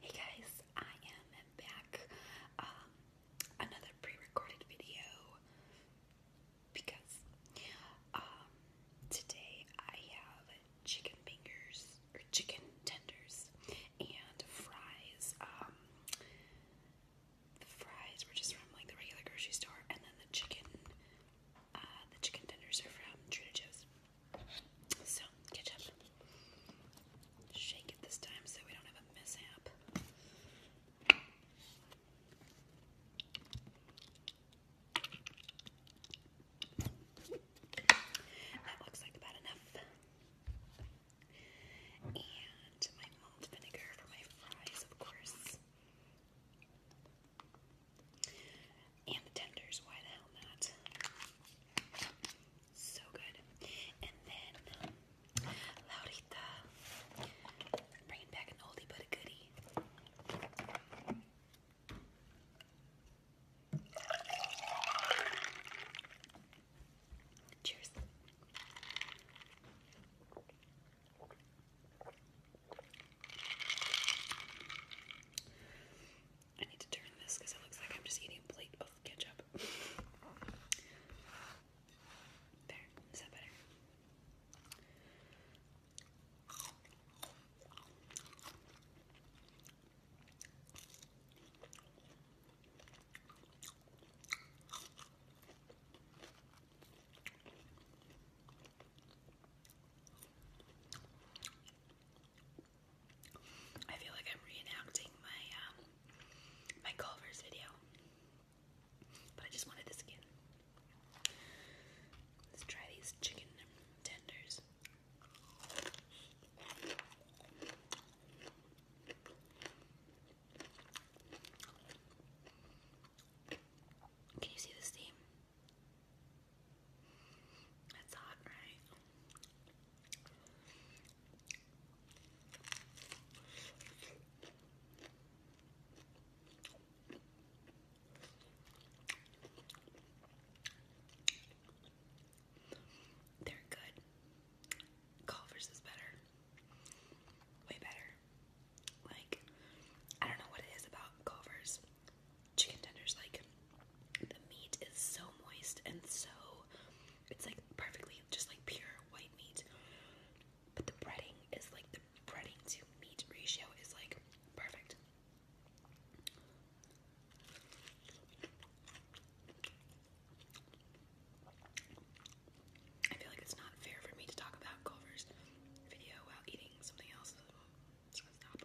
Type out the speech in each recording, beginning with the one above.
Hey guys, I am back. Um, another pre-recorded video because um, today I have chicken fingers or chicken tenders and fries. Um, the fries were just from like the regular grocery store, and then the chicken, uh, the chicken tenders are from Trader Joe's. So, ketchup. Shake it this time so we don't have a mishap. That looks like about enough. And my malt vinegar for my fries, of course. And the tenders, why the hell not? So good. And then Laurita, bringing back an oldie but a goodie. Cheers. I need to turn this because it looks like I'm just eating a plate of ketchup. there, is that better? I feel like I'm reenacting my um, my Culver's video, but I just wanted the skin. Let's try these chicken tenders. Can you see the steam? It's hot, right? They're good. Culver's is better. Way better. Like, I don't know what it is about Culver's, chicken tenders, like the meat is so moist and so it's like perfectly just like pure white meat. But the breading is like the breading to meat ratio is like perfect. I feel like it's not fair for me to talk about Culver's video while eating something else. So stop.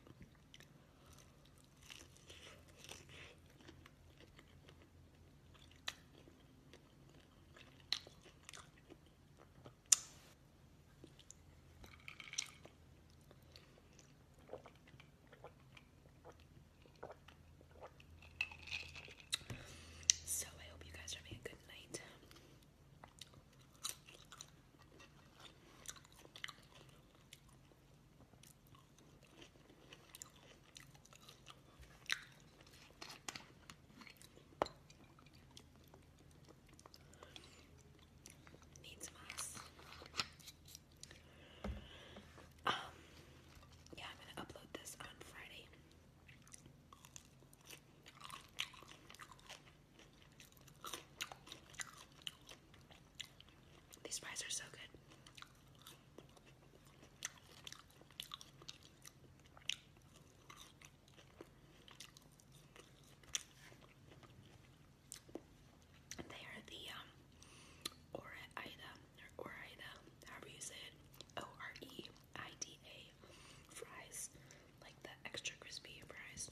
So I hope you guys are having a good night. Needs must. Um, yeah, I'm gonna upload this on Friday. These fries are so good. They are the um, Oreida or Oreida, however you say it, O R E I D A fries, like the extra crispy fries.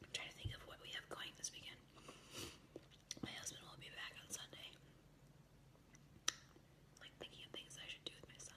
I'm trying to think of what we have going this weekend. My husband will be back on Sunday. Like thinking of things I should do with my son.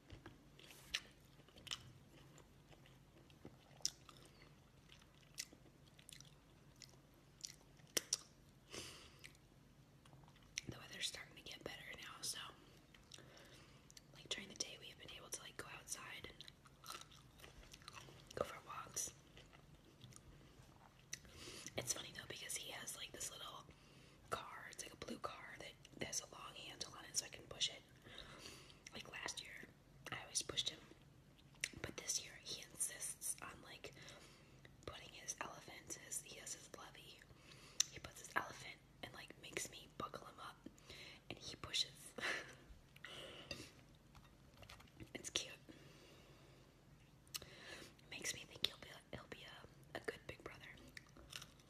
The weather's starting to get better now, so like during the day we have been able to like go outside and go for walks. It's funny though because he has like this little car, it's like a blue car that has a long handle on it so I can push it. Like last year, I always pushed him, but this year he insists on like putting his elephant. His he has his levy. He puts his elephant and like makes me buckle him up, and he pushes. it's cute. makes me think he'll be a, he'll be a, a good big brother.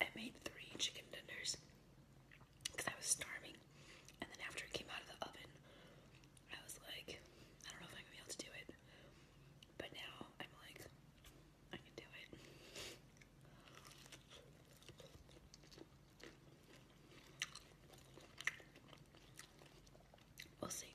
I made three chicken tenders because I was starving, and then after it came out of the oven, I was like, I don't know if I'm gonna be able to do it, but now I'm like, I can do it. We'll see.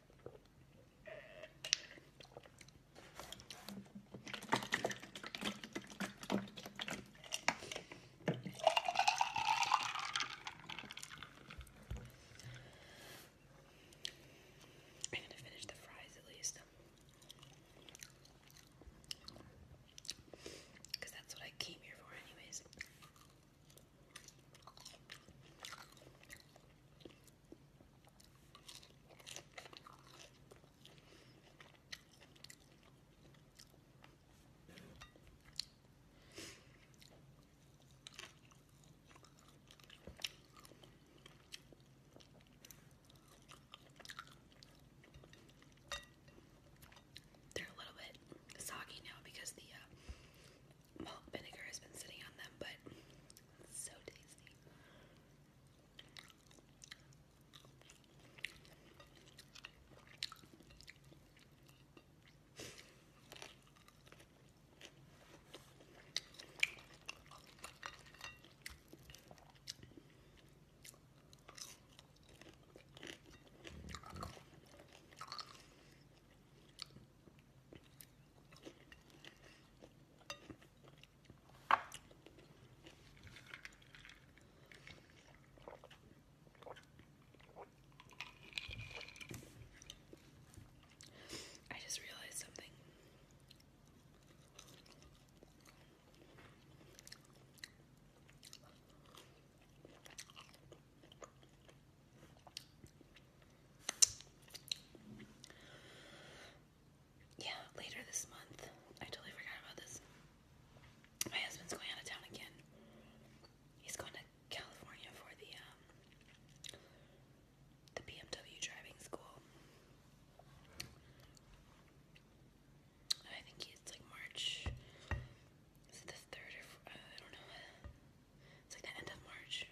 I'm gonna finish the fries at least. that's what I came here for, anyways. They're a little bit soggy now because the uh, malt vinegar has been sitting on them, but so tasty. I just realized something. Yeah, later this month. I totally forgot about this. My husband's going out of town again. He's going to California for the um, the BMW driving school. I think it's like March. Is it the third or uh, I don't know. It's like the end of March.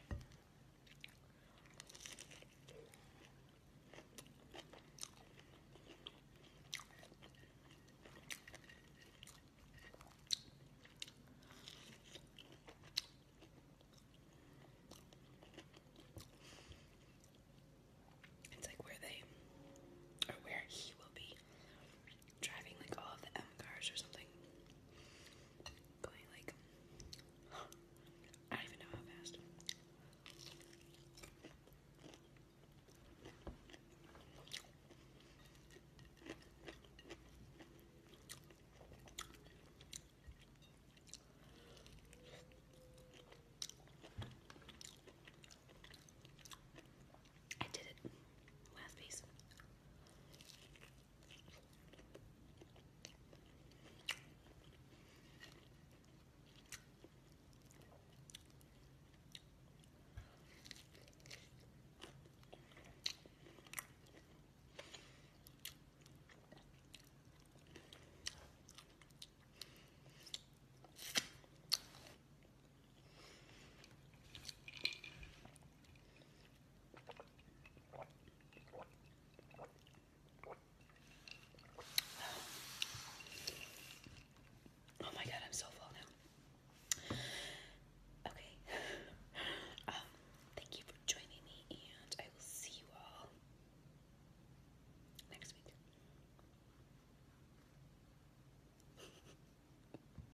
It's like where they, or where he will be driving like all of the M cars or something. Going like I don't even know how fast. I did it. Last piece. Oh my god, I'm so full now. Okay. Um, thank you for joining me, and I will see you all next week.